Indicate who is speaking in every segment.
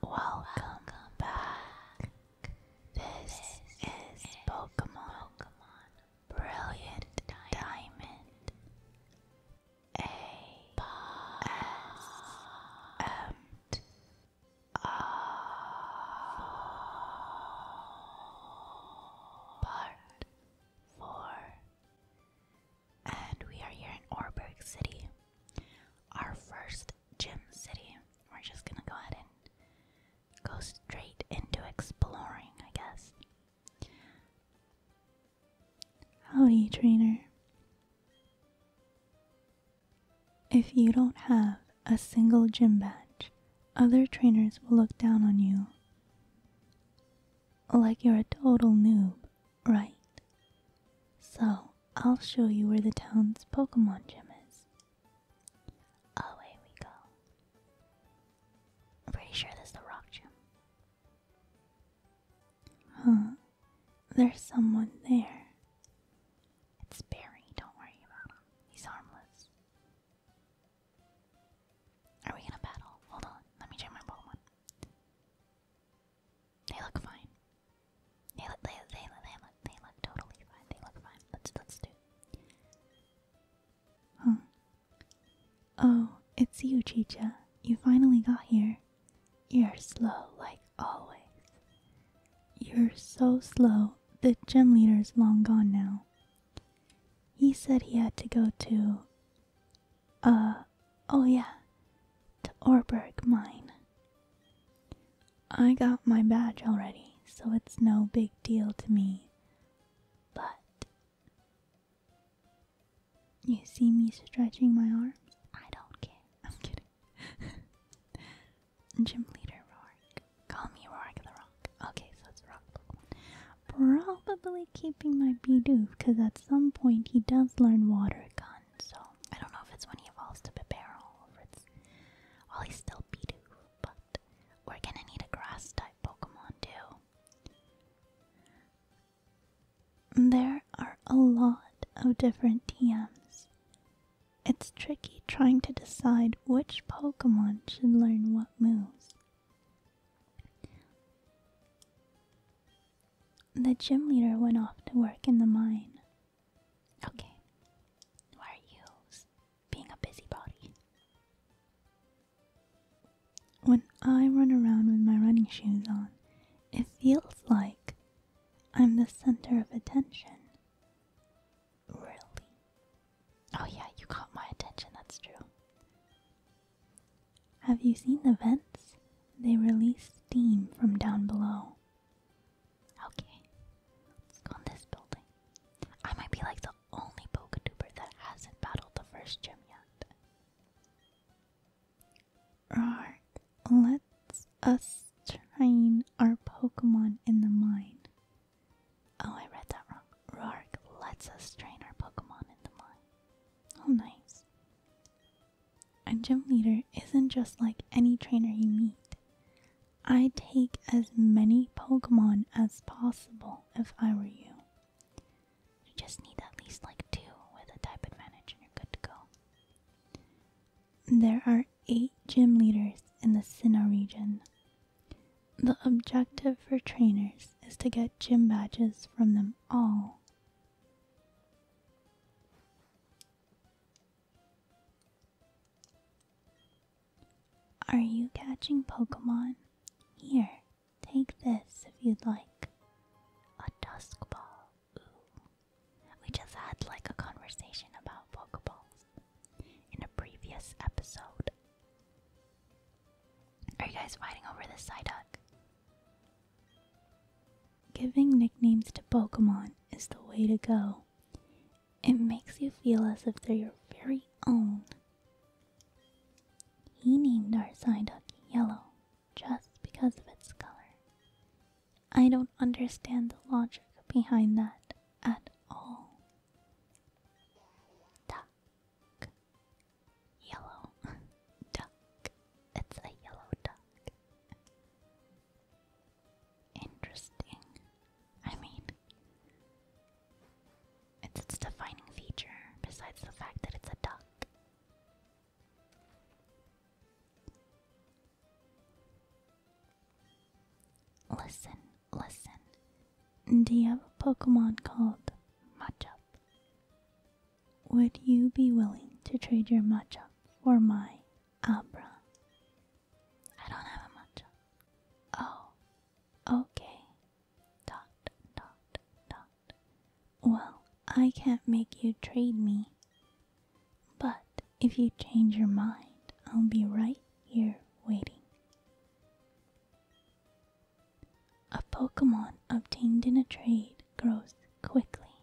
Speaker 1: Hello, welcome, back. This, is, Pokemon, Pokemon Brilliant Diamond. A S M part four. And we are here in Orberg City, our first gym city. We're just gonna go ahead and go straight into exploring, I guess.
Speaker 2: Howdy, trainer. If you don't have a single gym badge, other trainers will look down on you. Like you're a total noob, right? So, I'll show you where the town's Pokemon
Speaker 1: gym is. Away we go. I'm pretty sure this is the rock gym.
Speaker 2: Huh? There's someone there. It's
Speaker 1: Barry, don't worry about him. He's harmless. Are we gonna battle? Hold on, let me check my Pokemon. They look fine. They look, they, look, they look, they look totally fine. They look fine. Let's, let's do
Speaker 2: Huh. Oh, it's you, Chicha. You finally got here. You're slow, like always. You're so slow, the gym leader's long gone now. He said he had to go to. Uh, oh yeah, to Orberg Mine. I got my badge already, so it's no big deal to me. But. You see me stretching my arms? I don't care. I'm kidding. Gym leader Rourke.
Speaker 1: Call me Rourke the Rock. Okay, so it's Rock Pokemon.
Speaker 2: Probably keeping my Bidoof because at some point he does learn Water
Speaker 1: Gun. So I don't know if it's when he evolves to Bebarrel or it's while he's still Bidoof. But we're gonna need a Grass type Pokemon too.
Speaker 2: There are a lot of different TMs. It's tricky trying to decide which Pokemon should learn what moves. The gym leader went off to work in the mine.
Speaker 1: Okay, why are you being a busybody?
Speaker 2: When I run around with my running shoes on, it feels like I'm the center of attention.
Speaker 1: Really? Oh, yeah, you caught my attention, that's true.
Speaker 2: Have you seen the vents? They release steam from down below. Okay,
Speaker 1: let's go in this building. I might be like the only Poketuber that hasn't battled the first gym yet.
Speaker 2: Right, let's us train our Pokemon in the mine. Oh, I read that wrong. Roark lets us train our Pokemon in the mine. Oh, nice. A gym leader isn't just like any trainer you meet. I take as many Pokemon as possible if I were you. You just need at least
Speaker 1: like two with a type advantage and you're good to
Speaker 2: go. There are eight gym leaders in the Sinnoh region. The objective for trainers is to get gym badges from them all. Are you catching Pokemon? Here, take this if you'd like.
Speaker 1: A dusk ball. We just had like a conversation about Pokeballs in a previous episode. Are you guys riding over this Psyduck?
Speaker 2: Giving nicknames to Pokemon is the way to go. It makes you feel as if they're your very own. He named our Psyduck Yellow just because of its color. I don't understand the logic behind that at all. Duck. Yellow
Speaker 1: duck. It's a yellow duck. Interesting. I mean, it's its defining feature, besides the fact that it's a duck. Listen,
Speaker 2: listen. Do you have a Pokemon called Machop? Would you be willing to trade your Machop for my Abra? I don't have a Machop. Oh, okay. Dot, dot, dot. Well, I can't make you trade me but if you change your mind, I'll be right here waiting. A Pokemon obtained in a trade grows quickly,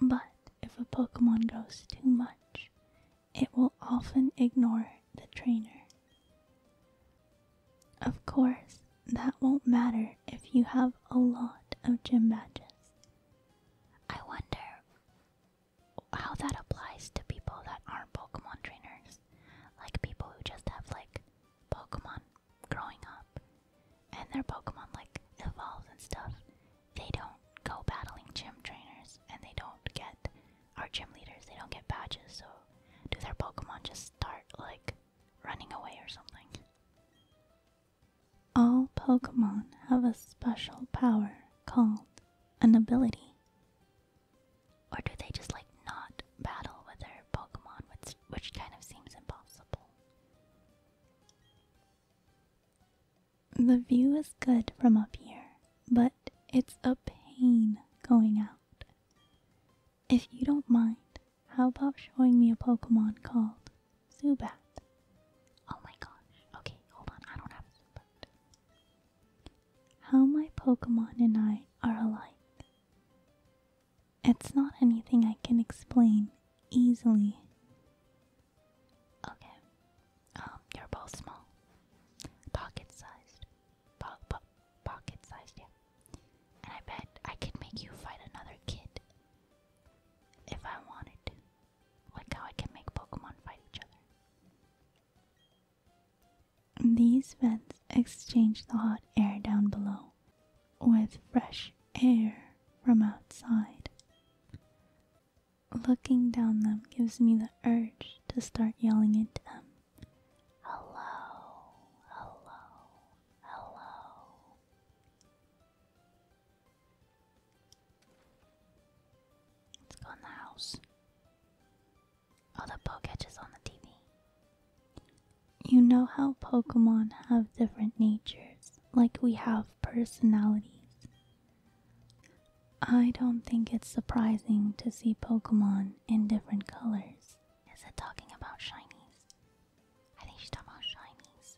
Speaker 2: but if a Pokemon grows too much, it will often ignore the trainer. Of course, that won't matter if
Speaker 1: you have a lot of gym badges. I wonder how that applies to people that aren't Pokemon trainers. Like people who just have like Pokemon growing up and their Pokemon like evolves and stuff. They don't go battling gym trainers and they don't get our gym leaders, they don't get badges, so do their Pokemon just start like running away or something?
Speaker 2: All Pokemon have a special power called an ability.
Speaker 1: Or do they just like not battle with their Pokemon, which, kind of seems impossible?
Speaker 2: The view is good from up here, but it's a pain going out. If you don't mind, how about showing me a Pokemon called Zubat. Oh my gosh. Okay, hold on. I don't have Zubat. How my Pokemon and I are alike. It's not anything I can explain easily.
Speaker 1: Okay. Um, you're both small. Pocket sized. pocket sized, yeah. And I bet I could make you fight another kid if I wanted to like how I can make Pokemon fight each
Speaker 2: other. These vents exchange the hot air down below with fresh air from outside. Looking down them gives me the urge to start yelling at them. Hello, hello, hello.
Speaker 1: Let's go in the house. Oh, the poke catches on the TV.
Speaker 2: You know how Pokemon have different natures, like we have personalities. I don't think it's surprising to see Pokemon in different colors. Is
Speaker 1: it talking about shinies? I think she's talking about shinies.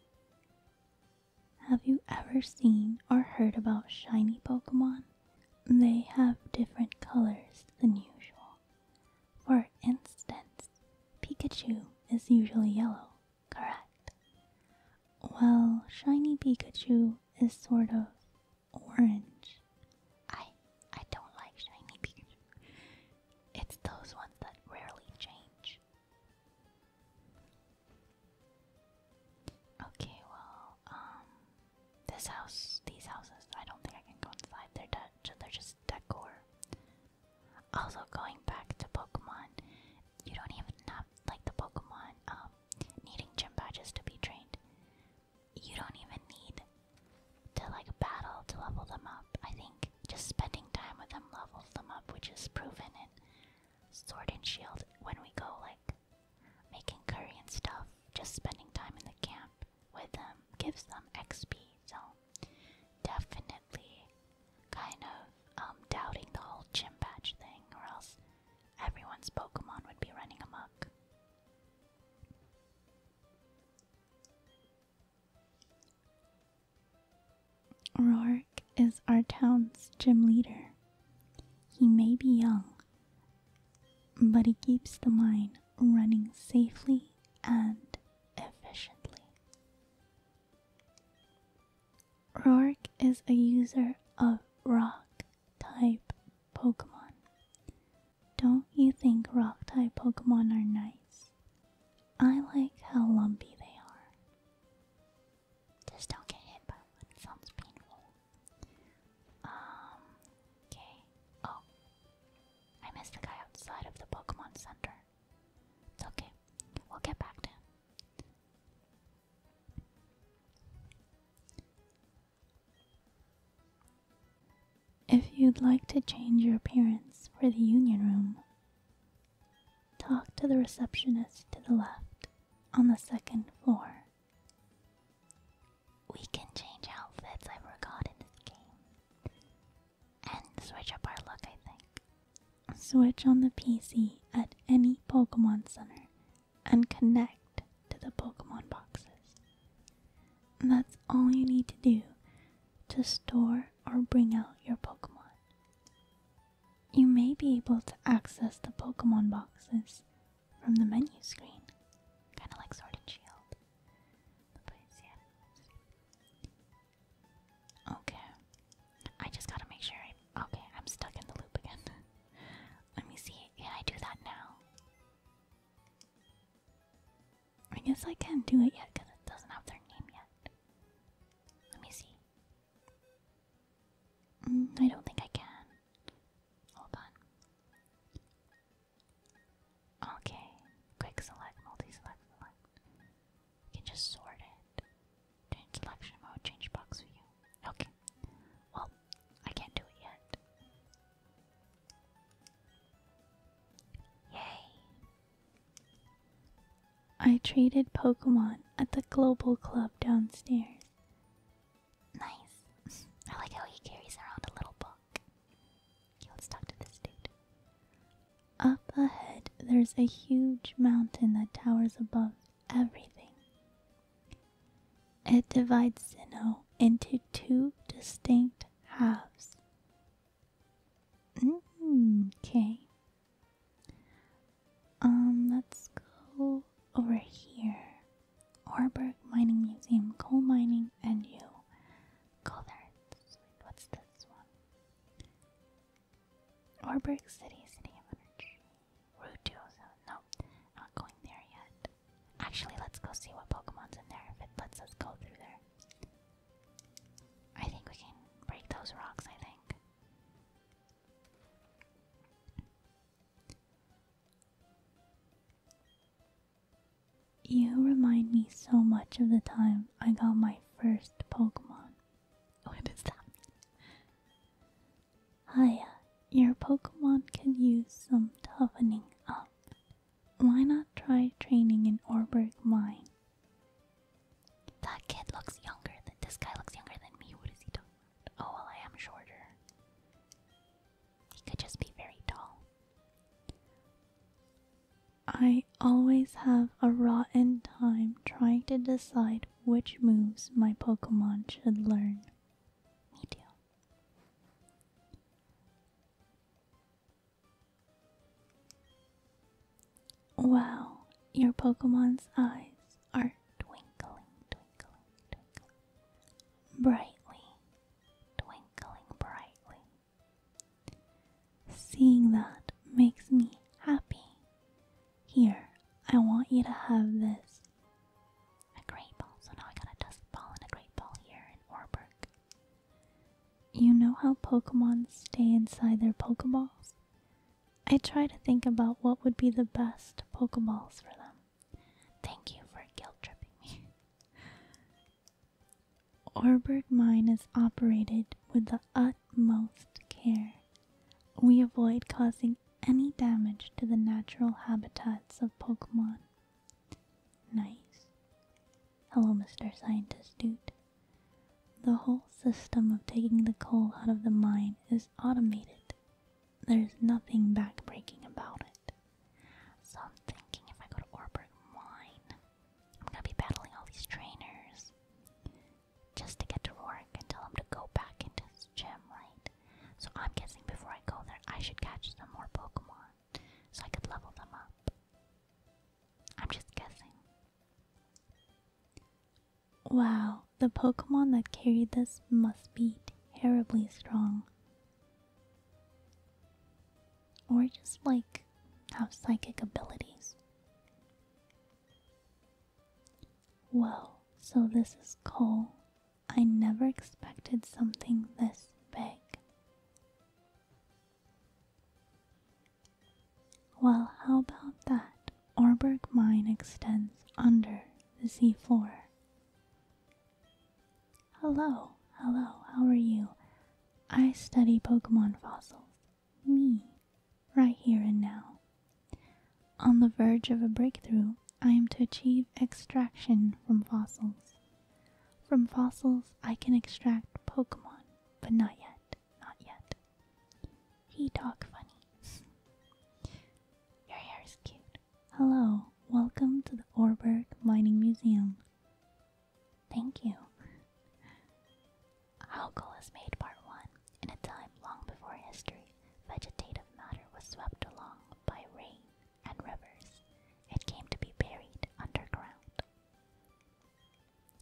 Speaker 2: Have you ever seen or heard about shiny Pokemon? They have different colors than usual. For instance, Pikachu is usually yellow, correct? Well, shiny Pikachu is sort of
Speaker 1: orange. I I don't like shiny Pikachu. It's those ones that rarely change. Okay, well, um, this house, these houses, I don't think I can go inside. They're de they're just decor. Also, going back to Pokemon, you don't even have like the Pokemon um, needing gym badges to be trained. You don't even need to like battle to level them up. I think just spending time with them levels them up, which is proven in Sword and Shield when we go like making curry and stuff. Just spending time in the camp with them gives them XP. So definitely kind of um, doubting the whole gym badge thing, or else everyone's Pokemon would be running amok.
Speaker 2: Roar Mark is our town's gym leader. He may be young, but he keeps the mine running safely and efficiently. Rourke is a user of rock type Pokemon. Don't you think rock type Pokemon are nice? I like how lumpy they are.
Speaker 1: Just don't get hit by one. Sounds painful. Um. Okay. Oh, I missed the guy outside of the Pokemon Center. It's okay. We'll get back to him.
Speaker 2: If you'd like to change your appearance for the Union Room, Talk to the receptionist to the left on the second floor.
Speaker 1: We can change outfits, I forgot in this game. And switch up our look, I think.
Speaker 2: Switch on the PC at any Pokemon Center and connect to the Pokemon
Speaker 1: boxes.
Speaker 2: that's all you need to do to store or bring out your Pokemon. You may be able to access the Pokemon boxes from the menu
Speaker 1: screen, kind of like Sword and Shield. Okay, I just gotta make sure. okay, I'm stuck in the loop again. Let me see. Can I do that now? I guess I can do it yet because it doesn't have their name yet. Let me see. Mm, I don't think I can. Hold on. Okay, quick select, multi select, select. You can just sort it. Change selection mode, change box view. Okay. Well, I can't do it yet.
Speaker 2: Yay! I traded Pokemon at the Global Club downstairs. Nice. I like how he carries around a little book. Okay, let's talk to this dude. Up ahead, there's a huge mountain that towers above everything. It divides Sino into two distinct halves. Mm, okay. Um, let's go over here. Orberg Mining Museum, coal mining, and you. Go there. what's this one? Orberg
Speaker 1: City, City of Energy. Route oh No, not going there yet. Actually, let's go see what Pokemon's in there if it lets us go through there. I think we can break those rocks, I think.
Speaker 2: You remind me so much of the time I got my first Pokemon.
Speaker 1: What that mean?
Speaker 2: Hiya, your Pokemon could use some toughening up. Why not try training in Orberg Mine?
Speaker 1: That kid looks younger than this guy looks younger than me. What is he doing? Oh, well, I am shorter. He could just be very tall.
Speaker 2: I always have a rotten time trying to decide which moves my Pokemon should learn. Me too. Wow, your Pokemon's eyes are twinkling, twinkling, twinkling, brightly, twinkling brightly. Seeing that makes me happy. Here, I want you to have this.
Speaker 1: A great ball, so now I got a dust ball and a great ball here in
Speaker 2: Orberg. You know how Pokemon stay inside their Pokeballs? I try to think about what would be the best Pokeballs for them.
Speaker 1: Thank you for guilt tripping me.
Speaker 2: Orberg Mine is operated with the utmost care. We avoid causing any damage to the natural habitats of Pokemon. Nice. Hello, Mr. Scientist Dude. The whole system of taking the coal out of the mine is automated there's nothing backbreaking about it.
Speaker 1: So I'm thinking if I go to Orberg Mine, I'm gonna be battling all these trainers just to get to Rorik and tell him to go back into his gym, right? So I'm guessing before I go there, I should catch some more Pokemon so I could level them up. I'm just guessing.
Speaker 2: Wow, the Pokemon that carried this must be terribly strong. Or just like have psychic abilities. Whoa, so this is coal. I never expected something this big. Well, how about that? Orberg Mine extends under the sea floor. Hello, hello, how are you? I study Pokemon fossils. Me. Right here and now. On the verge of a breakthrough, I am to achieve extraction from fossils. From fossils, I can extract Pokemon, but not
Speaker 1: yet, not yet. He talk funny. Your hair is cute.
Speaker 2: Hello, welcome to the Orberg Mining Museum.
Speaker 1: Thank you. Alcohol's made part one. In a time long before history, vegetative matter was swept along by rain and rivers. It came to be buried underground.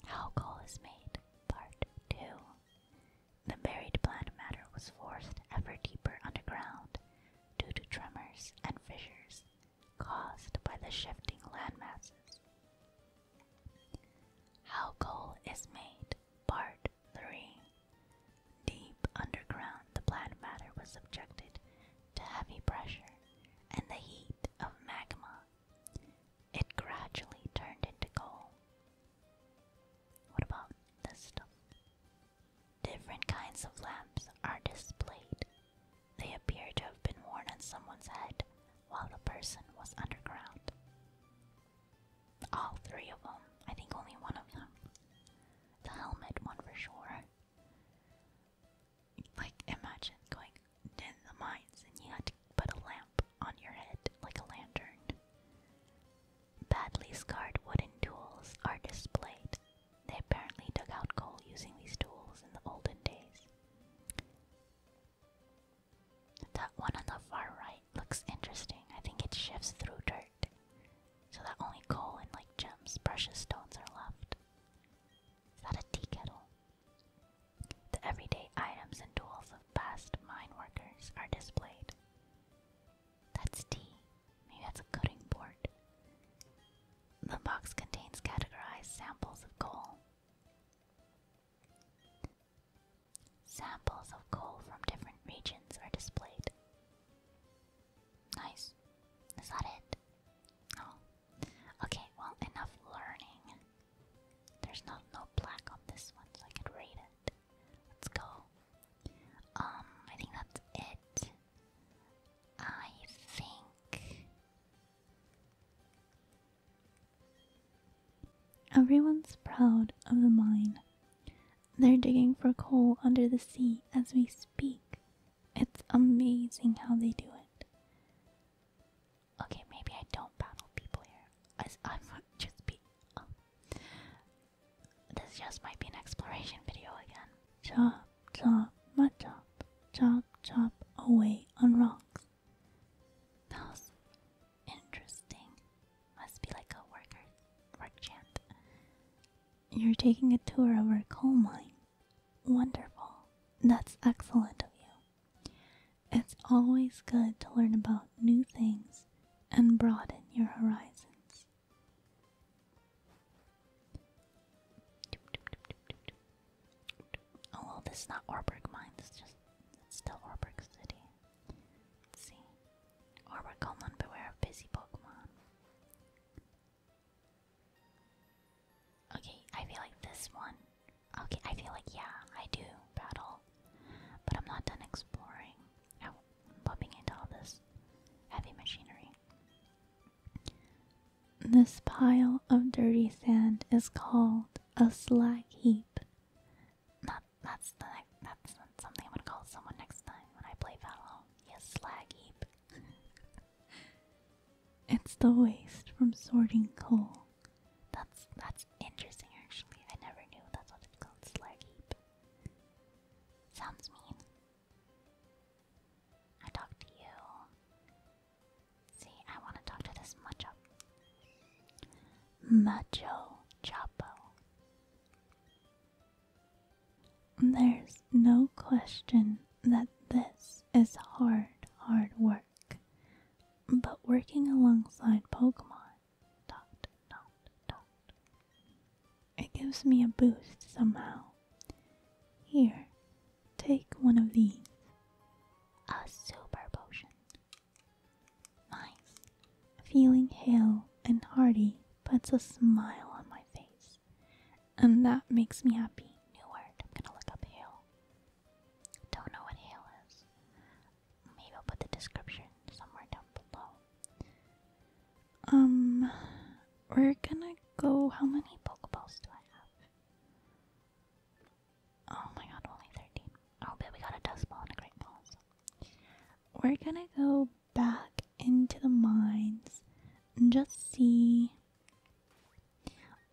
Speaker 1: How is made, part two. The buried plant matter was forced ever deeper underground due to tremors and fissures caused by the shifting land masses. How coal is made, part 3. Deep underground, the plant matter was subjected to heavy pressure and the heat of magma. It gradually turned into coal. What about this stuff? Different kinds of lamps are displayed. They appear to have been worn on someone's head while the person was underground. All three of them. I think only one of them. The helmet one for sure. Like, imagine going in the mines and you had to put a lamp on your head, like a lantern. Badly scarred wooden tools are displayed. They apparently dug out coal using these tools in the olden days. That one on the far right looks interesting. I think it shifts through dirt. So that only coal and like gems, precious stones are left. Is that a tea kettle? The everyday items and tools of past mine workers are displayed. That's D. Maybe that's a cutting board. The box contains categorized samples of coal. Samples of coal from different regions are displayed. Nice. Is that it? Oh. Okay, well, enough learning. There's not no plaque on this one, so I could read it. Let's go. Um, I think that's it.
Speaker 2: I think everyone's proud of the mine. They're digging for coal under the sea as we speak. It's amazing how they do
Speaker 1: it. Okay, maybe I don't battle people here. I, I might just be. Um, this just might be an exploration video again.
Speaker 2: Chop, chop, mud chop, chop, chop away on rocks.
Speaker 1: That interesting. Must be like a worker, work chant.
Speaker 2: You're taking a tour of a coal mine. Wonderful. That's excellent of you. It's always good to learn about new things and broaden your horizons.
Speaker 1: Oh this is not Orberg Mines, it's just it's still Orberg City. Let's see. Orberg Coleman, beware of busy Pokemon. Okay, I feel like this one. Okay, I feel like yeah, I do battle. But I'm not done exploring. Oh, bumping into all this heavy machinery.
Speaker 2: This pile of dirty sand is called
Speaker 1: a slag heap. Not that's something I'm gonna call someone next time when I play Valhalla. Yes, slag heap.
Speaker 2: it's the waste from sorting coal.
Speaker 1: That's that's interesting actually. I never knew that's what it's called, slag heap. Sounds mean. I talk to you. See, I want to talk to this macho. Macho Chapo.
Speaker 2: There's no question that this is hard, hard work. But working alongside Pokemon it gives me a boost somehow. Here, take one of these. A super potion. Nice. Feeling hale and hearty puts a smile on my face. And that makes me happy. New word. I'm gonna look up
Speaker 1: hale. Don't know what hale is. Maybe I'll put the description somewhere down below.
Speaker 2: Um, we're gonna go. How many
Speaker 1: Pokeballs do I have? Oh my god, only 13. Oh, but we got a Dust Ball and a Great Ball.
Speaker 2: We're gonna go back into the mines and just see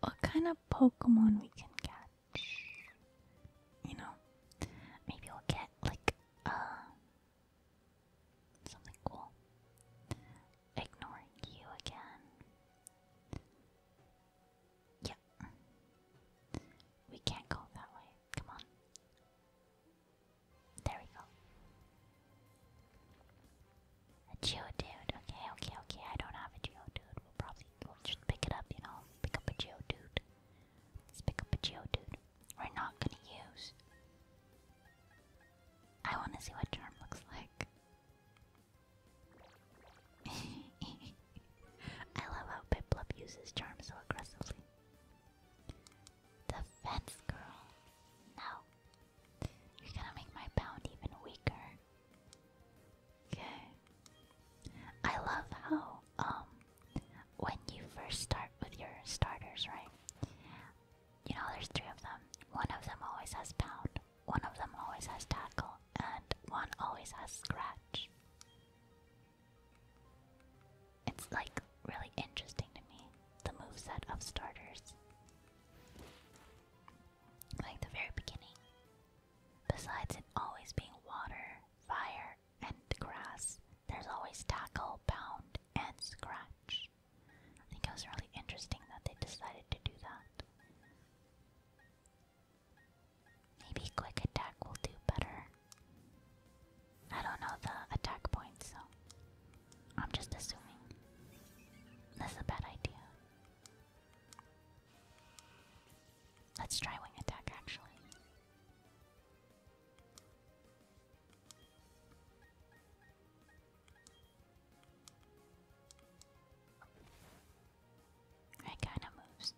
Speaker 2: what kind of Pokemon we can catch. You know, maybe we'll get like a uh, Something cool. Ignoring you again. Yeah. We can't go that way. Come on.
Speaker 1: There we go. A geodude. Okay, okay, okay. I don't have a geodude. We'll probably we'll just pick it up, you know. Pick up a geodude. Let's pick up a geodude we're not gonna use. I wanna see what charm looks like. I love how Piplup uses charm so aggressively. Defense girl. No. You're gonna make my bound even weaker. Okay. I love how um, when you first start with your starters, right? You know, there's three of them. One of them always has pound, one of them always has tackle, and one always has scratch. It's like really interesting to me, the move set of starters. Like the very beginning. Besides it always being water, fire, water and grass, there's always tackle, pound, and scratch. I think it was really interesting that they decided to do that. Maybe quick attack will do better. I don't know the attack points, so I'm just assuming. That's a bad idea. Let's try wing attack actually. I kind of moves.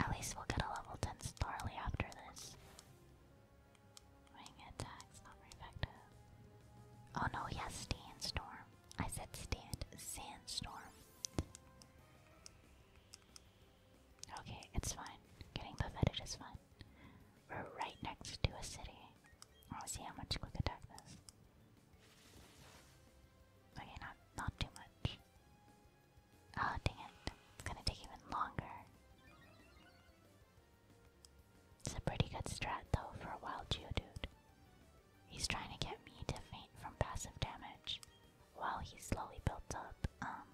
Speaker 1: At least we'll get a level 10 Starly after this. Wing attacks, not very effective. Oh no, yes, Sandstorm. I said stand Sandstorm. Okay, it's fine. Getting buffeted is fun. We're right next to a city. I'll see how much quick attack this. Okay, not not too much. Oh dang it. It's gonna take even longer. It's a pretty good strat though for a wild Geodude. He's trying to get me to faint from passive damage while he slowly builds up um,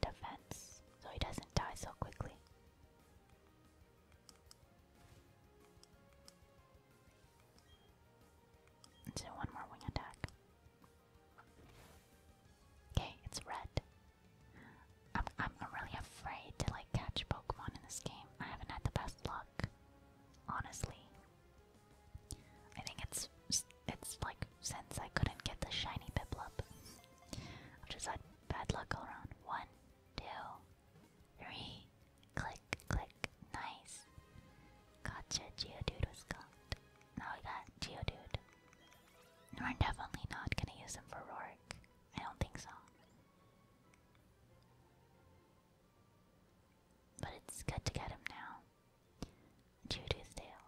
Speaker 1: defense so he doesn't die so quickly. do one more wing attack. Okay, it's red. I'm I'm really afraid to like catch Pokemon in this game. I haven't had the best luck, honestly. I think it's it's like since I couldn't get the shiny Piplup, I've just had bad luck all around. One, two, three, click, click, nice. Gotcha, Geodude was got. Now we got Geodude. We're definitely not gonna use him for Rorik. I don't think so. But it's good to get him now. Judy's tail.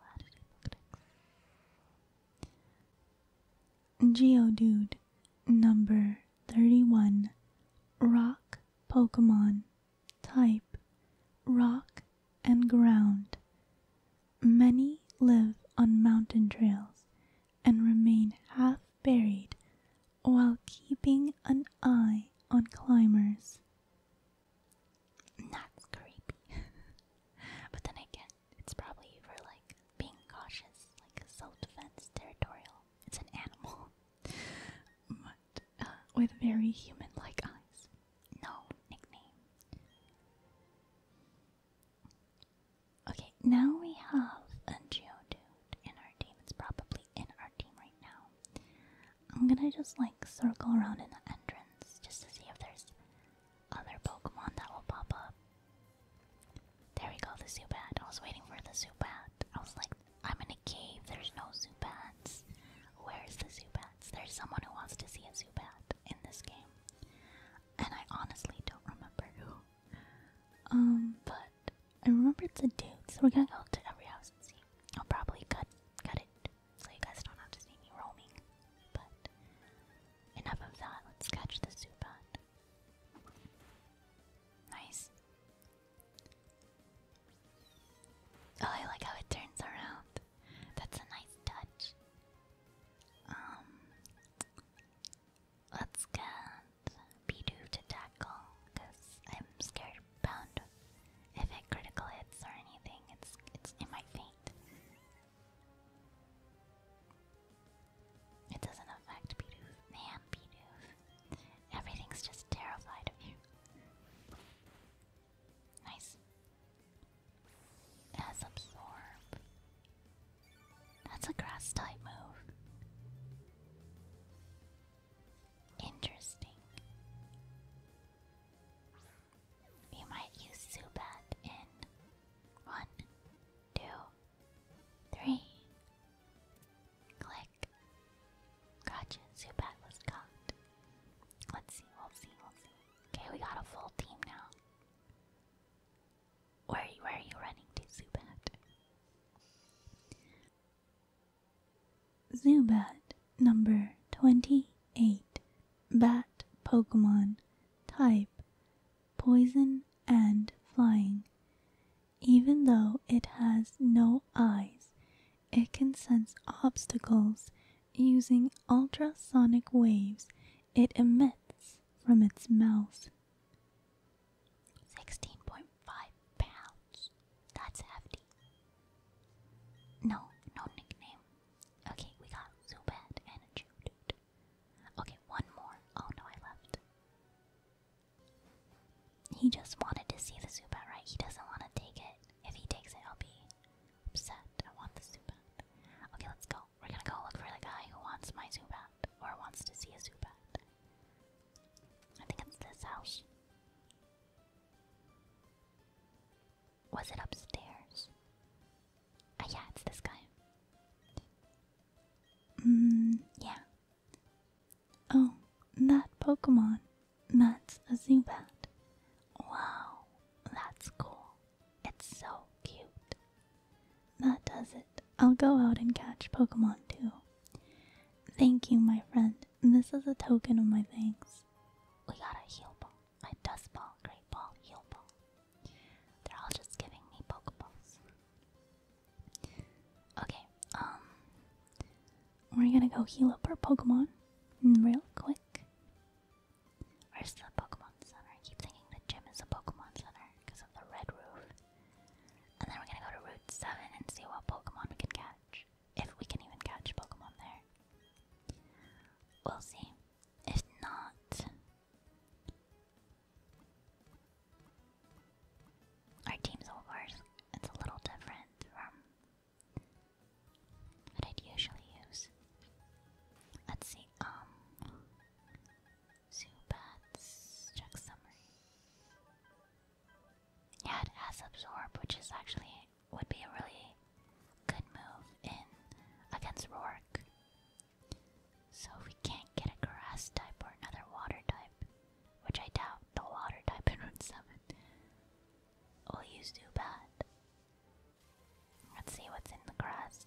Speaker 2: Geodude, number 31. Rock Pokemon. Type Rock and Ground. Many live on mountain trails and remain half buried while keeping an eye on
Speaker 1: climbers not creepy. but then again, it's probably for like being cautious, like self-defense, territorial. It's an animal, but uh, with very human-like eyes. No nickname. Okay,
Speaker 2: now we have a
Speaker 1: Geo dude in our team. It's
Speaker 2: probably in our team right now. I'm gonna just like circle around in the
Speaker 1: entrance just to see if there's other Pokemon that will pop up. There we go, the Zubat. I was waiting for the Zubat. I was like, I'm in a cave, there's no Zubats. Where's the Zubats? There's someone who wants to see a Zubat in this game. And I honestly don't remember who. Um, but
Speaker 2: I remember it's a dude, so we're gonna go
Speaker 1: to every house and see. I'll probably cut cut it so you guys don't have to see me roaming. But enough of that. Let's catch the Zubat. Nice. Oh, I like how it turns around. That's a nice touch. Um, let's get Bidoof to tackle because I'm scared pound if it critical hits or anything. It's it's it might faint. It doesn't affect Bidoof. Man, Bidoof. Everything's just terrified of you. Nice. absorb. That's a grass type move. Interesting. You might use Zubat in one, two, three. Click. Gotcha, Zubat was cocked. Let's see, we'll see, we'll see. Okay, we got a full team now. Where are you, where are you running to, Zubat?
Speaker 2: Zubat number 28 Bat Pokemon type Poison and Flying. Even though it has no eyes, it can sense obstacles using ultrasonic waves it emits from its mouth.
Speaker 1: 16.5 pounds. That's hefty. No, no nickname. Okay, we got Zubat and a Jude. Okay, one more. Oh no, I left. He just wanted to see the Zubat, right? He doesn't want to take it. If he takes it, I'll be upset. I want the Zubat. Okay, let's go. We're gonna go look for the guy who wants my Zubat or wants to see a Zubat. I think it's this house. Was it upstairs? Ah, yeah, it's this guy. Mm, yeah.
Speaker 2: Oh, that Pokemon. That's a Zubat.
Speaker 1: Wow, that's cool. It's so cute. That does it.
Speaker 2: I'll go out and catch Pokemon too. Thank you, my friend. This is a token of my thanks
Speaker 1: we got a heal ball, a dust ball, great ball, heal ball. They're all just giving me pokeballs. Okay, um,
Speaker 2: we're gonna go heal up our Pokemon real quick.
Speaker 1: Where's the Pokemon Center? I keep thinking the gym is a Pokemon Center because of the red roof. And then we're gonna go to Route 7 and see what Pokemon we can catch. If we can even catch Pokemon there. We'll see. If not. Our team's over's it's a little different from what I'd usually use. Let's see, um Zubats, check summary. Yeah, it has absorb, which is actually would be a really good move in against Rourke. So if we can't get a grass type or another water type, which I doubt the water type in Run 7, we'll use bad. Let's see what's in the grass.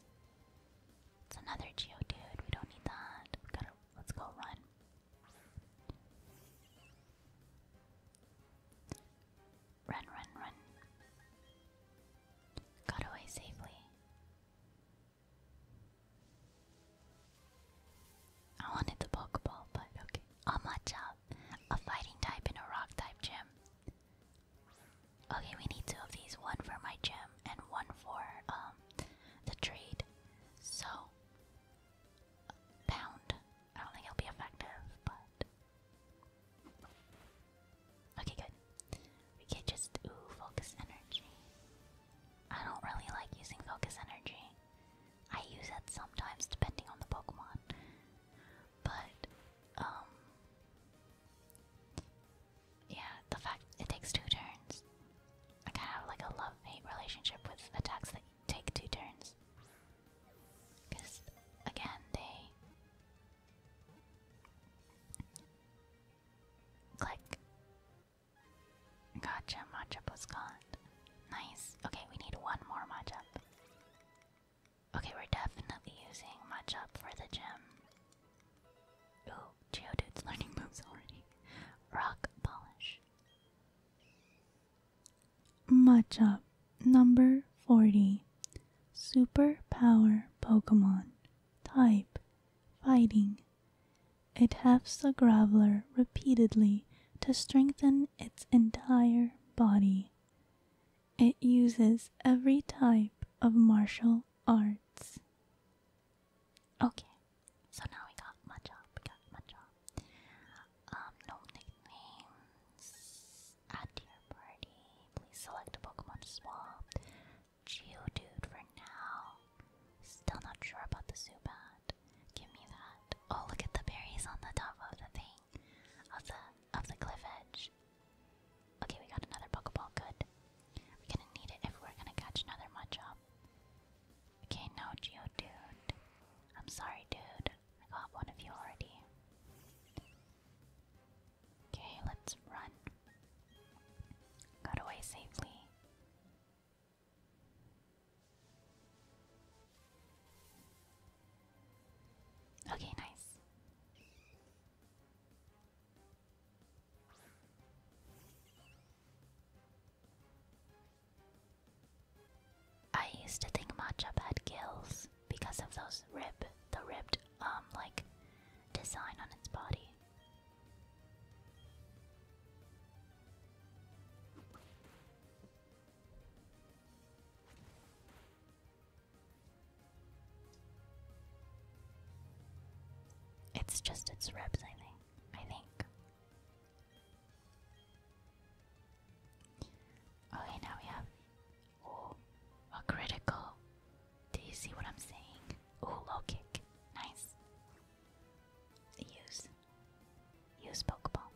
Speaker 1: It's another Geodude, we don't need that. We let's go run. Run, run, run. Got away safely. I wanted the Pokeball, but okay. A Machop, a fighting type and a rock type gym. Okay, we need two of these, one for my gym and one for um the trade. So pound. I don't think it'll be effective, but Okay, good. We can just focus energy. I don't really like using focus energy. I use it sometimes depending on the Pokemon. But um, Yeah, the fact it takes two turns. I kinda have like a love-hate relationship with attacks that take two turns. Because, again, they. Click. Gotcha, matchup was gone. Nice. Okay, we need one more match up. Okay, we're definitely using match up for the gym. Ooh, Geodude's learning moves already. Rock polish.
Speaker 2: Machop number 40 Superpower Pokemon Type Fighting It hefts the Graveler repeatedly to strengthen its entire body. It uses every type of martial arts. Okay, so
Speaker 1: now we got Machop, we got Machop, um, no nicknames. Add your party. Please select a Pokemon to swap. Geodude for now. Still not sure about the Zubat. Give me that. Oh, look at the berries on the top of the thing. Of the the cliff edge. Okay, we got another Pokeball. Good. We're gonna need it if we're gonna catch another Mudchop. Okay, no Geodude. I'm sorry, dude. I got one of you already. Okay, let's run. Got away safely. Okay, nice. I used to think matchup had gills because of those rib, the ribbed, um, like, design on its body. It's just its ribs, I think. I think. Okay, now we have oh a critical. Do you see what I'm saying? Oh, low kick. Nice. Use. Use Pokeball.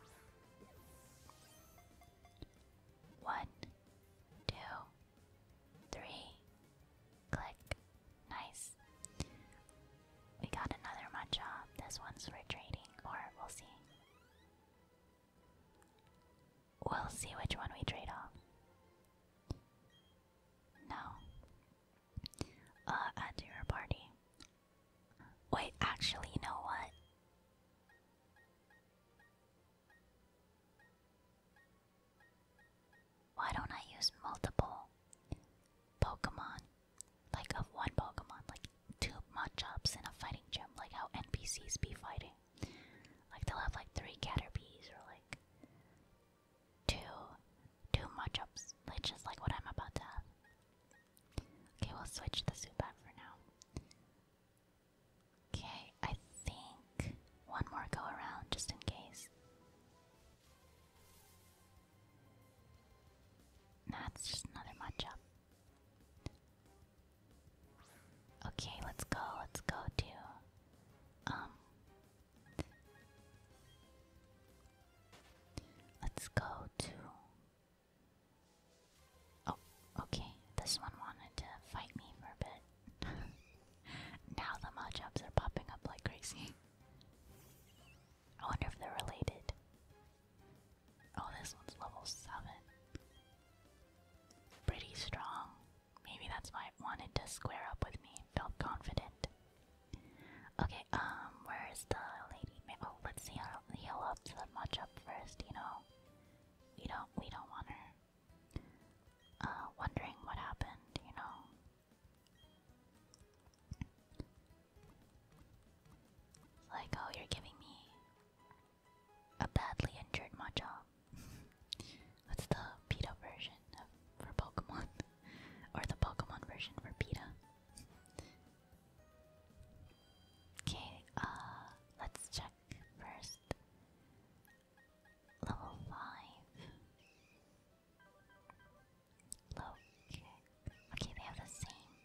Speaker 1: One, two, three. Click. Nice. We got another Machop. This one's retreating, or we'll see. We'll see which one we trade off. No. Uh, add to your party. Wait, actually, you know what? Why don't I use multiple Pokemon? Like, of one Pokemon. Like, two mud in a fighting gym, like how NPCs be fighting. Like they'll have like three caterpies or like two two mud like just like what I'm about to have. Okay, we'll switch the suit back for now. Okay, I think one more go around just in case. That's just another matchup. Okay, let's go. Let's go to um Let's go to Oh, okay. This one wanted to fight me for a bit. now the mudjobs are popping up like crazy. I wonder if they're related. Oh, this one's level 7. Pretty strong. Maybe that's why it wanted to square up with me. Felt confident. Okay, um, where's the lady? Oh, let's see how heal up to the match up first, you know. We don't we don't want her uh wondering what happened, you know. like, oh you're giving me a badly injured Machop. That's the PETA version for Pokemon. or the Pokemon version for PETA. Okay, uh, let's check first. Level 5. Low Okay, they have the same.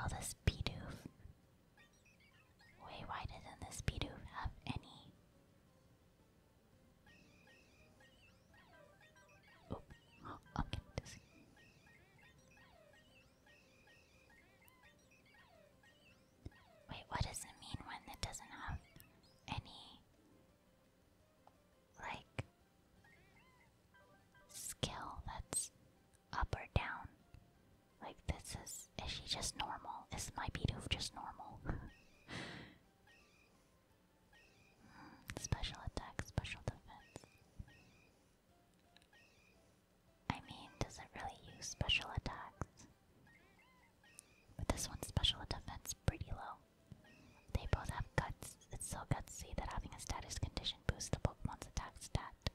Speaker 1: All this Bidoof. Way why doesn't this have any? Oh, I'm getting dizzy. Wait, what does it mean when it doesn't have any like skill that's up or down. Like this is is she just normal? Is my Bidoof just normal? Hmm, special attack, special defense. I mean, does it really use special attacks? But this one's special defense pretty low. They both have guts. It's so gutsy that having a status condition boosts the Pokemon's attack stat.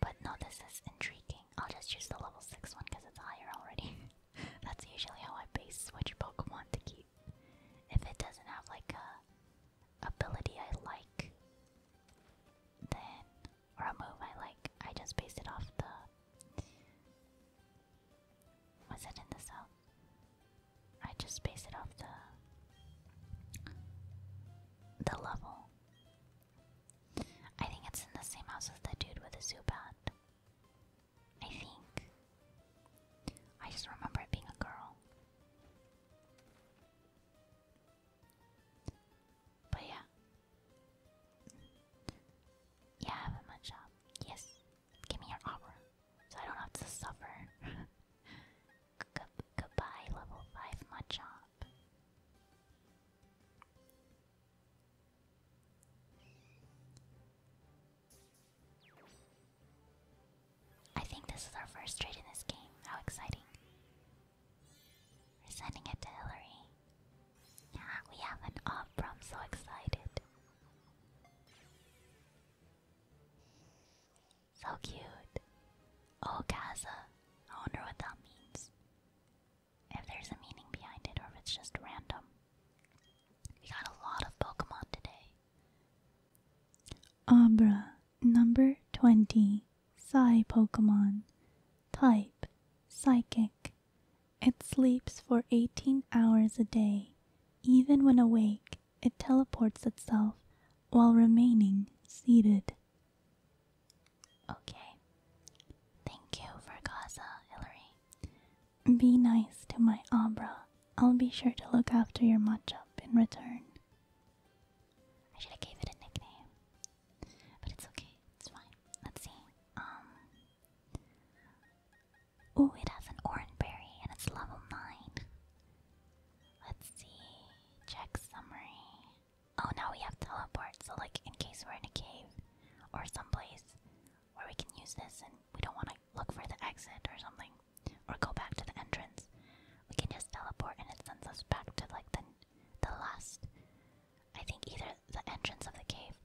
Speaker 1: But no, this is intriguing. I'll just use the level 6 one because it's higher already. That's usually how I base switch Pokemon to keep. If it doesn't have like a ability I like, then or a move I like, I just base it off the was it in the south? I just base it off the the level. I think it's in the same house as the dude with the Zubat. I think. I just remember it being a girl. But yeah. Yeah, I have a mud shop. Yes. Give me your aura, so I don't have to suffer. goodbye, level five Machop. I think this is our first trade in this game. How exciting! We're sending it to Hillary. We have an opera, so excited. So cute. Oh, Gaza. I wonder what that means. If there's a meaning behind it or if it's just random. We got a lot of Pokemon
Speaker 2: today. Abra, number 20. Psy Pokemon. Type Psychic. It sleeps for 18 hours a day. Even when awake, it teleports itself while remaining seated.
Speaker 1: Okay. Thank you, Vergaza
Speaker 2: Hillary. Be nice to my Abra. I'll be sure to look after your match-up in return. I should have gave it a nickname. But it's okay.
Speaker 1: It's fine. Let's see. Um Oh, it has an orange berry and it's level 9. Let's see. Check summary. Oh, now we have teleport, so like in case we're in a cave or some place where we can use this and we don't want to look for the exit or something or go back to the entrance, we can just teleport and it sends us back to like the the last I think either the entrance of the cave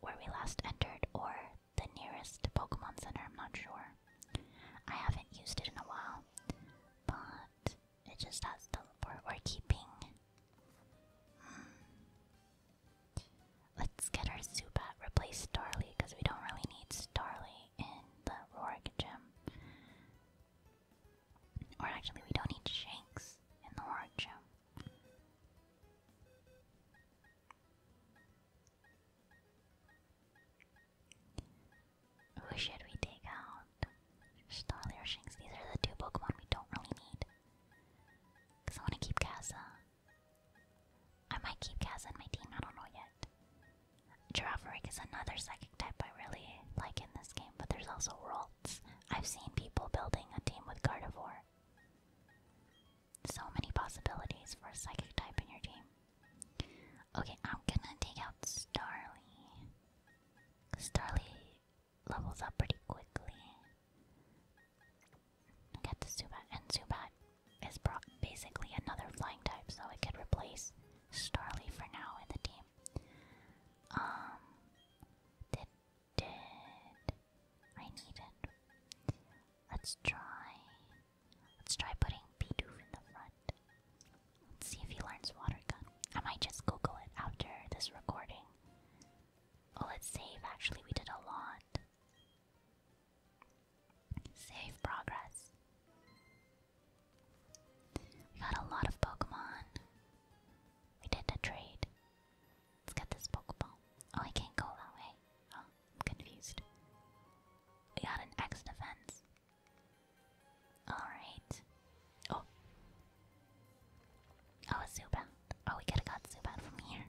Speaker 1: where we last entered or the nearest Pokemon Center, I'm not sure. I haven't used it in a while, but it just has teleport. We're keeping. Hmm, let's get our Zubat, replace Starly, because we don't really need Starly in the Rorik Gym. Or actually, we don't need Shanks in the Rorik Gym. Who should we take out? Starly These are the two Pokemon we don't really need. Because I want to keep Kaza. I might keep Kaza in my team, I don't know yet. Girafarig is another psychic type I really like in this game, but there's also Ralts. I've seen people building a team with Gardevoir. So many possibilities for a psychic type in your team. Okay, I'm gonna take out Starly. Starly levels up pretty quickly. Get the Zubat, and Zubat is basically another flying type, so it could replace Starly for now in the team. Um, did, I need Let's try. Let's try putting Bidoof in the front. Let's see if he learns water gun. I might just Google it after this recording. Oh, let's save. Actually, we did a lot. Save progress. We got a lot of Pokemon. We did a trade. Let's get this Pokeball. Oh, I can't go that way. Oh, I'm confused. We got an X defense. Alright. Oh. Oh, Zubat. Oh, we could've got Zubat from here.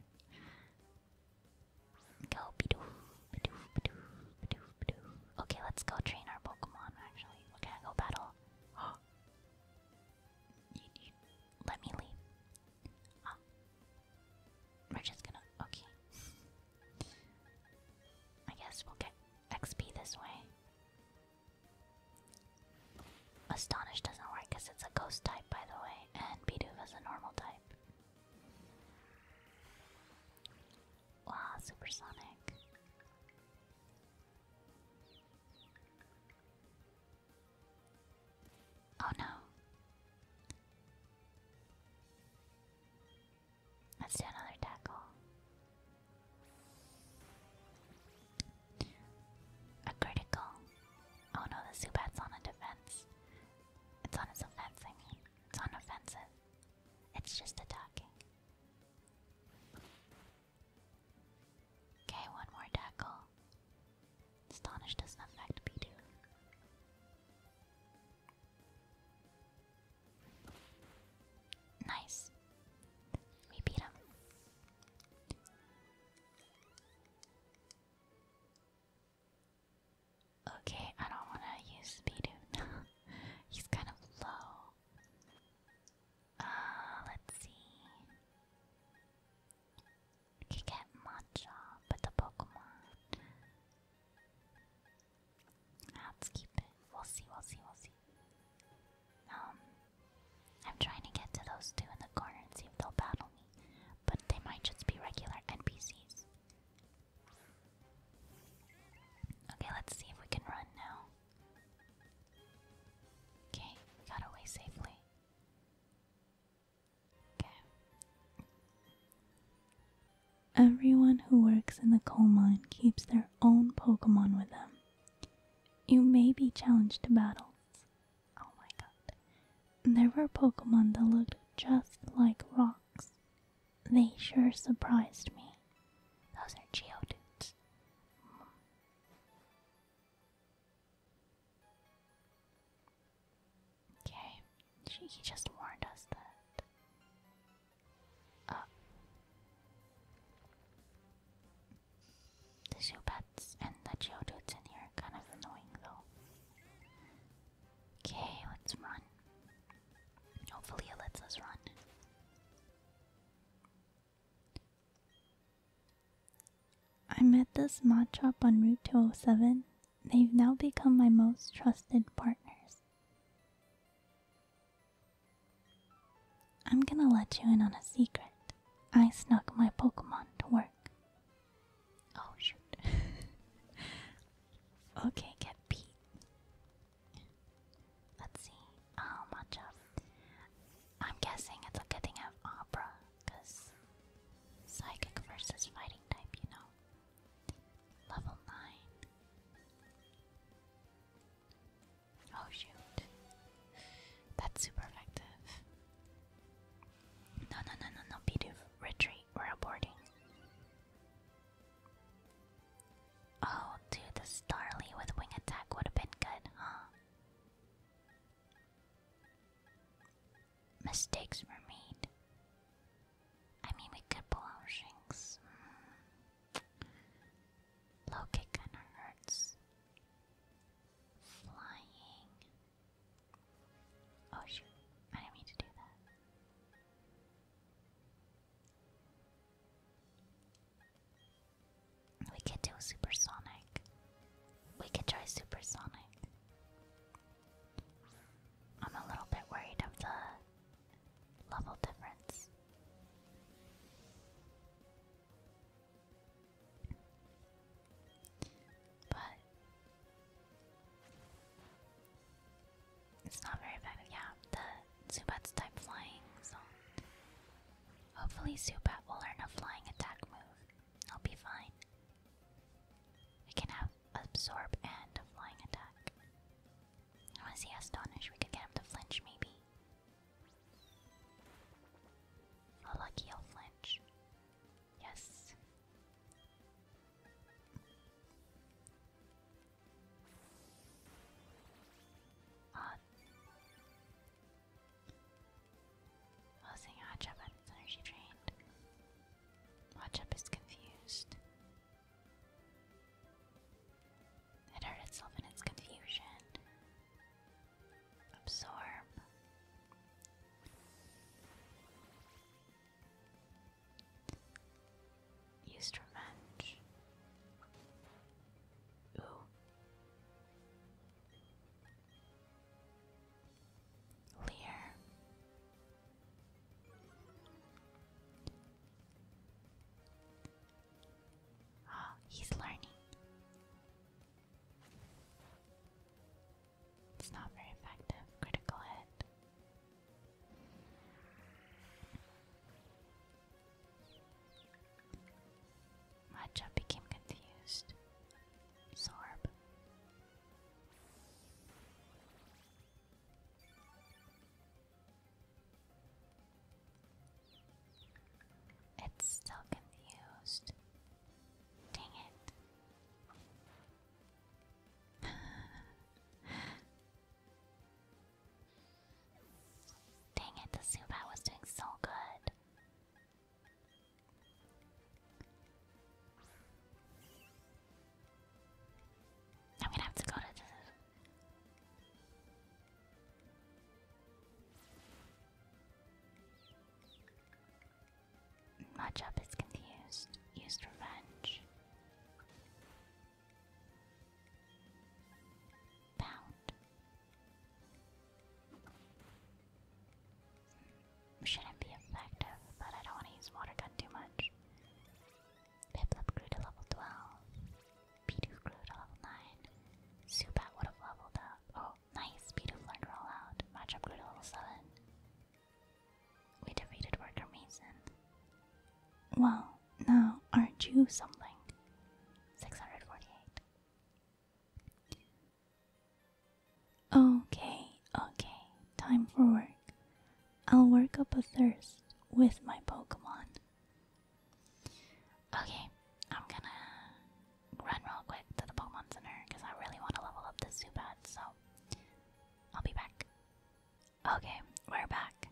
Speaker 1: Go, Bidoof, Bidoof, Bidoof, Bidoof, Bidoof. Okay, let's go train our Pokemon, actually. we go battle. let me leave. Oh. We're just gonna. Okay. I guess we'll get XP this way. Astonish doesn't work it's a ghost type, by the way, and Bidoof is a normal type. Wow, supersonic. Oh no. Let's do another tackle. A critical. Oh no, the Zubat's on a defense. It's on its offense, It's on offensive. It's just attacking. Okay, one more tackle. Astonish doesn't affect Pidu. Nice. We beat him. Okay, I don't want to use Speedo. He's kind of low. Uh, let's see. I could get but the Pokemon. Let's keep it. We'll see, we'll see, we'll see. Um, I'm trying to get to those two in the corner and see if they'll battle me, but they might just be regular NPCs. Okay, let's see if we can run now. Okay, got away safely.
Speaker 2: Everyone who works in the coal mine keeps their own Pokemon with them. You may be challenged to battles. Oh my god. There were Pokemon that looked just like rocks. They sure surprised me.
Speaker 1: Those are Geodudes. Okay, he just warned us that. Uh, the Zubats and the Geodudes in here are kind of annoying though. Okay, let's run. Hopefully it run.
Speaker 2: I met this Machop on Route 207 They've now become my most trusted partners. I'm gonna let you in on a secret. I snuck my Pokemon to work.
Speaker 1: Oh, shoot. okay, get beat. Let's see. How oh, much I'm guessing it's a getting of opera. Because psychic versus fighting type, you know. Level 9. Oh shoot. That's super effective. No, no, no, no, no, Pidu. Retreat. we aborting. Oh, dude, the Starly with wing attack would have been good, huh? mistakes were made. I mean, we could pull out hmm. Low kick kinda hurts. Flying. Oh shoot, I didn't mean to do that. We could do supersonic. We could try supersonic. I'm a little bit worried of the level difference. But it's not very effective. Yeah, Zubat's type flying, so hopefully Zubat will learn a flying attack move. I'll be fine. We can have absorb and flying attack. I want astonish. We could get him to flinch, maybe. Oh, lucky i flinch. Yes. Uh, I was thinking energy drained. Watch up is confused. It hurt itself in its confusion. Absorb. Used revenge. Ooh. Lear. Oh, he's learning. It's not very effective. Critical hit. Matcha became confused. Sarb. It's still confused. Dang it. Dang it, the Zubat was doing so good. I'm gonna have to go to the. Matchup is confused. Used revenge. Bound shouldn't be effective, but I don't want to use water gun too much. Piplup grew to level 12. Bidoof grew to level 9. Zubat would have leveled up. Oh, nice. Bidoof learned roll Matchup grew to level 7. We defeated Worker Mason. Well, now aren't you something? 648.
Speaker 2: Okay, okay, time for work. I'll work up a thirst with my Pokemon.
Speaker 1: Okay, I'm gonna run real quick to the Pokemon Center because I really want to level up this Zubat, so I'll be back. Okay, we're back.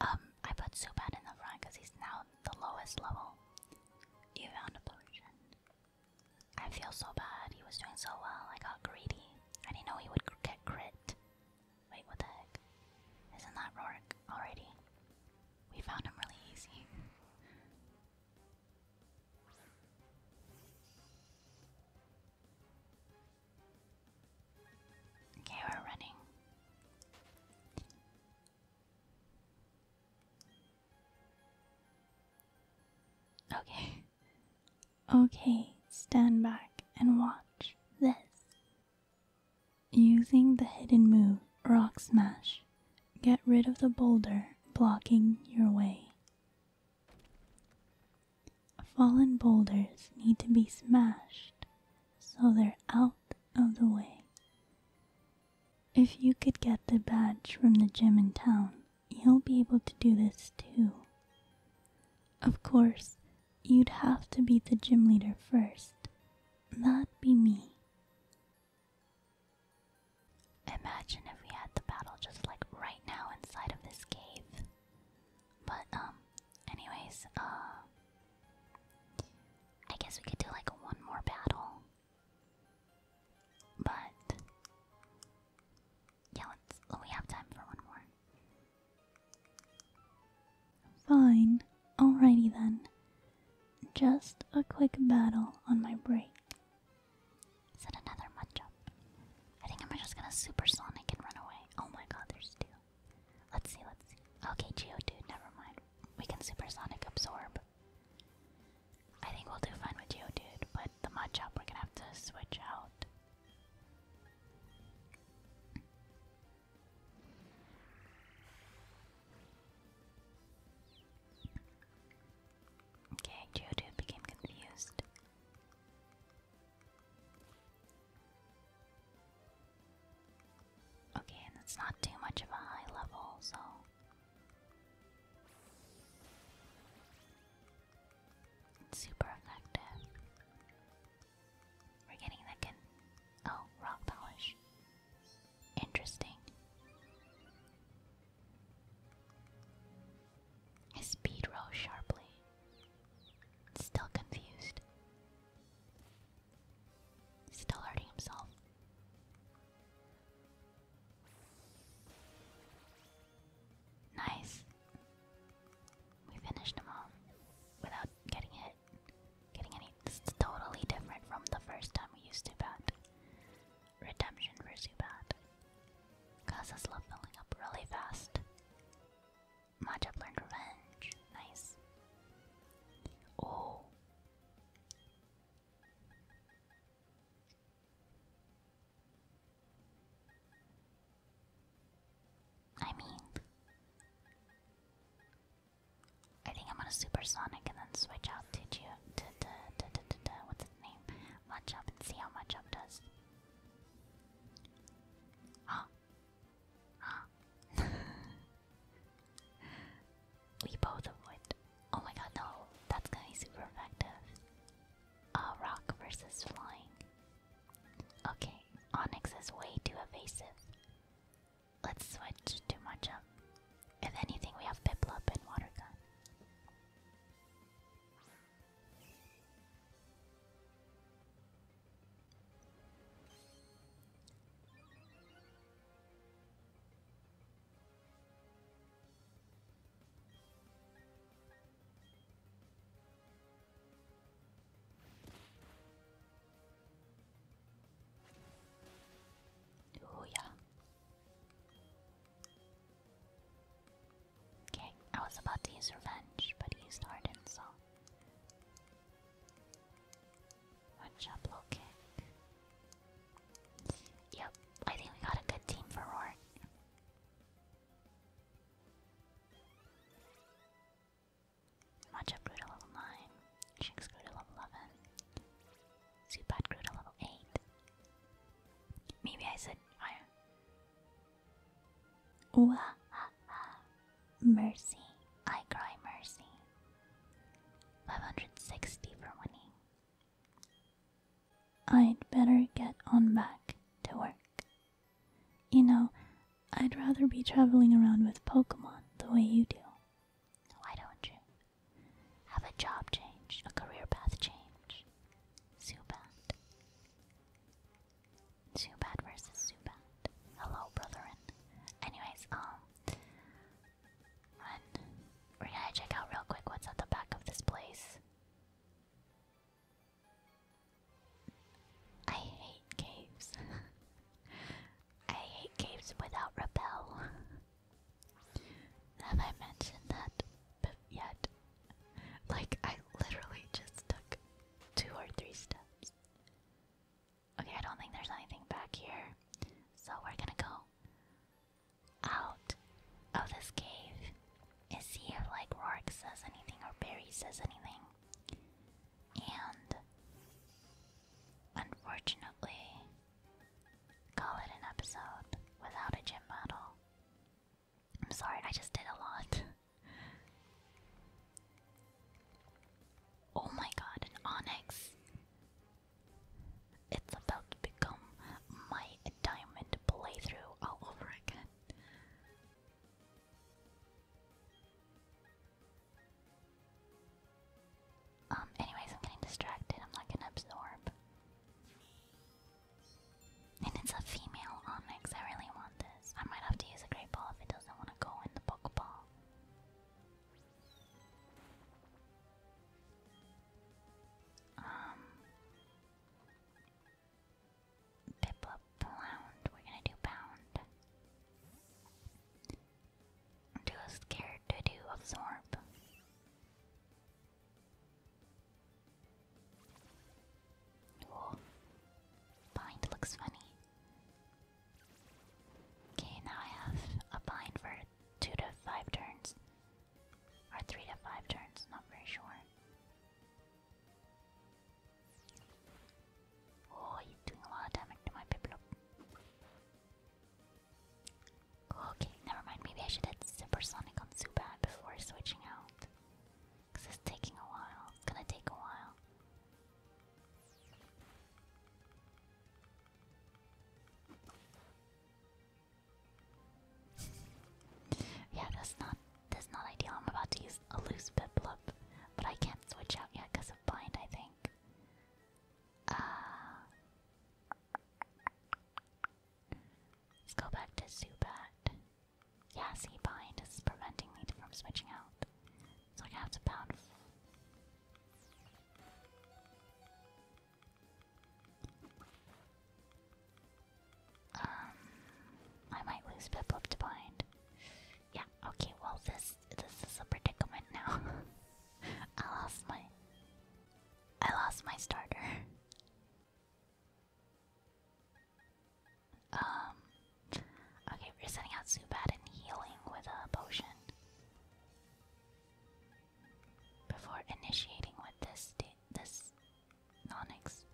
Speaker 1: Um, I put Zubat in the front because he's now the lowest level. You found a potion. I feel so bad. He was doing so well. I got greedy. I didn't know he would get crit. Wait, what the heck? Isn't that Rorik already? We found him really easy. okay, we're running.
Speaker 2: Okay. Okay, stand back and watch this. Using the hidden move Rock Smash, get rid of the boulder blocking your way. Fallen boulders need to be smashed so they're out of the way. If you could get the badge from the gym in town, you'll be able to do this too. Of course, you'd have to be the gym leader first. That'd be me.
Speaker 1: Imagine if we had the battle just like right now inside of this cave. But, um, anyways, uh, I guess we could do like one more battle. But yeah, let's. we have time for one more. Fine.
Speaker 2: Alrighty then. Just a quick battle on my break. Is it
Speaker 1: another matchup? I think I'm just gonna supersonic and run away. Oh my god, there's two. Let's see, let's see. Okay, Geodude, never mind. We can supersonic absorb. I think we'll do fine with Geo Dude, but the Machop we're gonna have to switch out. Okay, Geodude became confused. Okay, and it's not too much of a high level, so it's super effective. We're getting that Oh, rock polish. Interesting. His speed rose sharply. Still confused. Still hurting himself. Nice. We finished them all without getting hit. Getting any. This is totally different from the first time we used to Zubat. Redemption for Zubat. Causes love filling up really fast. Matchup learned revenge. Nice. Oh. I mean, I think I'm gonna supersonic and then switch out to To, to, to, to, to, what's his name? Match and see how much does. Huh? Huh? we both avoid. Oh my god, no! That's gonna be super effective. Uh, rock versus flying. Okay, Onyx is way too evasive. Let's switch to Machamp. If anything, we have Piplup and Water Gun. Oh yeah. Okay, I was about to use revenge, but he used so. Watch out, kick. Yep, I think we got a good team for Rourke. Machop grew to level 9. Shinx grew to level 11. Zubat grew to level 8. Maybe I said fire. Mercy. I cry mercy. 560 for winning.
Speaker 2: I'd better get on back to work. You know, I'd rather be traveling around with Pokemon the way you do. Why don't
Speaker 1: you? Have a job change, a career path change. Zubat. bad versus Zubat. Hello, brethren. Anyways, um, run. we check out real quick what's at the back of this place. I hate caves. I hate caves without rappel. Have I mentioned that yet? Like, I literally just took two or three steps. Okay, I don't think there's anything back here. So we're gonna go out of this cave is he like Rourke says anything or Barry says anything. And unfortunately, call it an episode without a gym battle. I'm sorry, I just did a lot. oh my god, an onyx! It's about to become my diamond playthrough all over again. Um, anyways, I'm getting distracted. I'm not gonna absorb. And it's a female Onyx. I really want this. I might have to use a Great Ball if it doesn't want to go in the Pokeball. Um, Piplup Plound. We're gonna do Pound. too scared to do Absorb. Ooh. Bind looks funny. Okay, now I have a bind for two to five turns. Or three to five turns, not very sure. Oh, you're doing a lot of damage to my Piplup. Okay, never mind. Maybe I should hit Supersonic on Zubat before switching out. Because it's taking a while. It's gonna take a while. yeah, that's not that's not ideal. I'm about to use a loose Piplup, but I can't switch out yet because of Bind, I think. Uh, let's go back to Zubat. Yeah, see, Bind is preventing me from switching out. So I have to pound. Um, I might lose Piplup to bind. Yeah, okay, well this this is a predicament now. I lost my I lost my starter. Um Okay, we're sending out Zubat and healing with a potion. Before initiating with this this Nonix.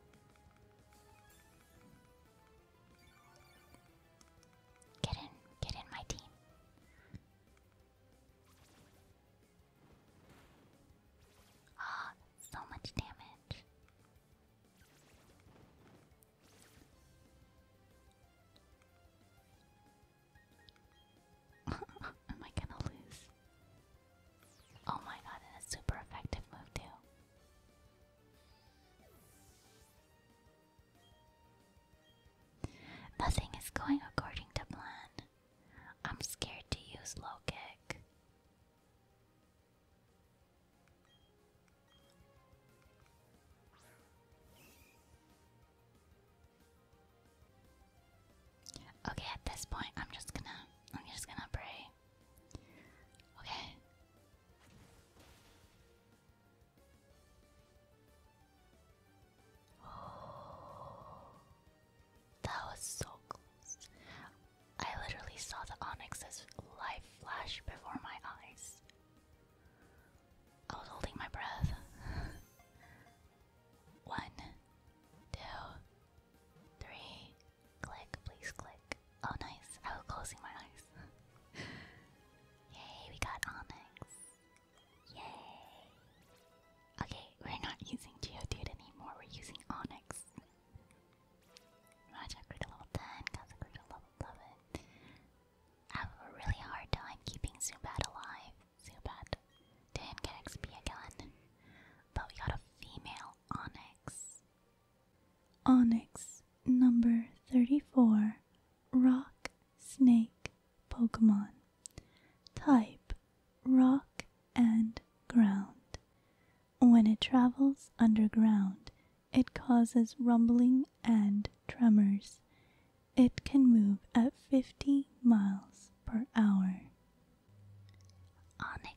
Speaker 1: Get in, get in my team. Ah, so much damage. Am I gonna lose? Oh my god, and a super effective move too. Nothing is going according to plan. I'm scared to use low kick. Okay, at this point, I'm just gonna, I'm just gonna pray. Okay. Oh, that was so close. I literally saw the onyx's life flash before my eyes. I was holding my breath. One, two, Three. Click, please click. Oh, nice. I was closing my eyes. Yay, we got Onyx. Yay. Okay, we're not using Geodude anymore, we're using Onyx. Magic grew level 10, Kaza grew level 11. have a really hard time keeping Zubat alive. Zubat did get XP again. But we got a female Onyx.
Speaker 2: Onyx number 34 Rock Snake Pokemon. Type Rock and Ground. When it travels underground, it causes rumbling and tremors. It can move at 50 miles per hour. Onyx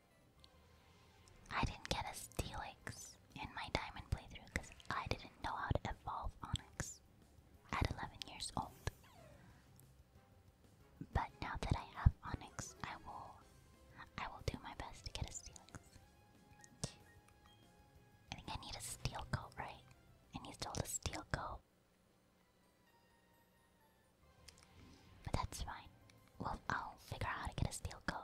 Speaker 1: I didn't get a Steelix in my diamond playthrough because I didn't know how to evolve Onyx at 11 years old. But now that I have Onyx, I will I will do my best to get a Steelix. I think I need a steel coat, right? I need still hold a steel coat. But that's fine. Well, I'll figure out how to get a steel coat.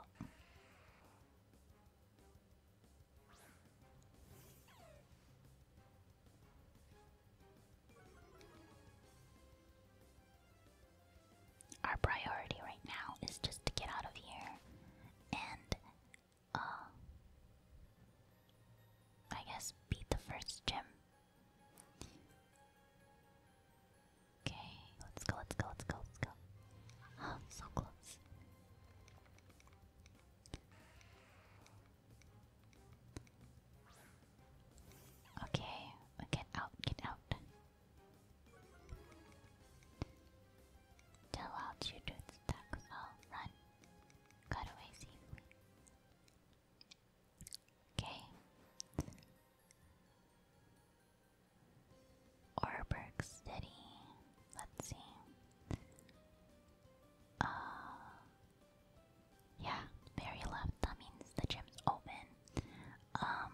Speaker 1: Our priority right now is just to get out of here and, uh, I guess beat the first gym Okay, let's go, let's go, let's go, let's go. Oh, so close. Okay, get out, get out. Tell out you do it stuck. Oh, run. Got away safely. Okay. Orberg City. Let's see. Uh, yeah, very left. That means the gym's open. Um,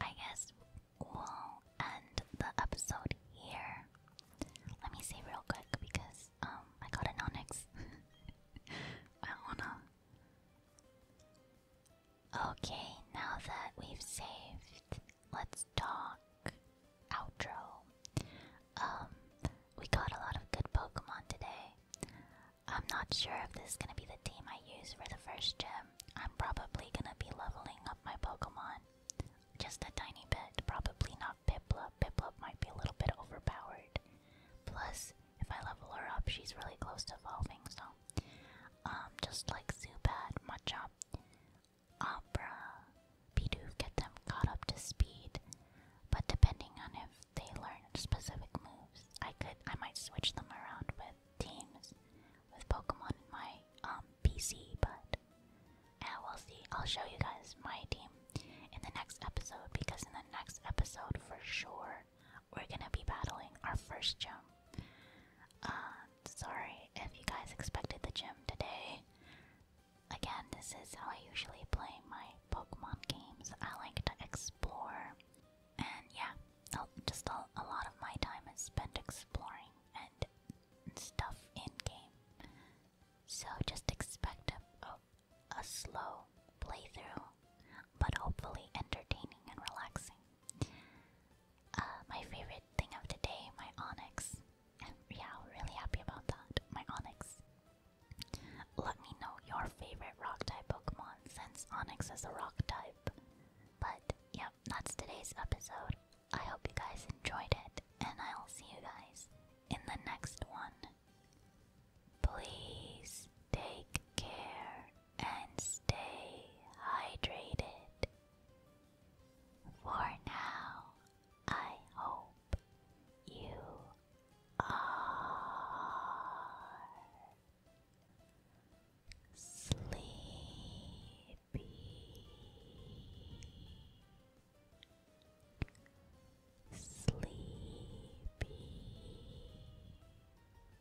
Speaker 1: I guess we'll end the episode here. Let me see real quick because um I got an onyx. I wanna Okay, now that we've saved, let's talk outro. Um, we got a lot of good Pokemon today. I'm not sure if this is gonna be the team I use for the first gym. I'm probably gonna be leveling up my Pokemon. Just a tiny bit, probably not Piplup. Piplup might be a little bit overpowered. Plus, if I level her up, she's really close to evolving, so um just like Zubat, Machop, Opera, Bidoof, get them caught up to speed. But depending on if they learn specific moves, I could I might switch them around with teams with Pokemon in my um, PC, but yeah, we'll see. I'll show you guys my team in the next episode because in the next episode for sure we're gonna be battling our first gym. Uh, sorry if you guys expected the gym today. Again, this is how I usually play my Pokemon games. I like to explore, and yeah, just a, lot of my time is spent exploring and stuff in game. So just expect a, a oh, a slow playthrough, but hopefully entertaining and relaxing. Uh, my favorite thing of the day, my Onyx. And yeah, really happy about that. My Onyx. Let me know your favorite rock type Pokemon since Onyx is a rock type. But yep, that's today's episode. I hope you guys enjoyed it, and I'll see you guys in the next one. Please take care and stay hydrated. For now, I hope you are sleepy. Sleepy,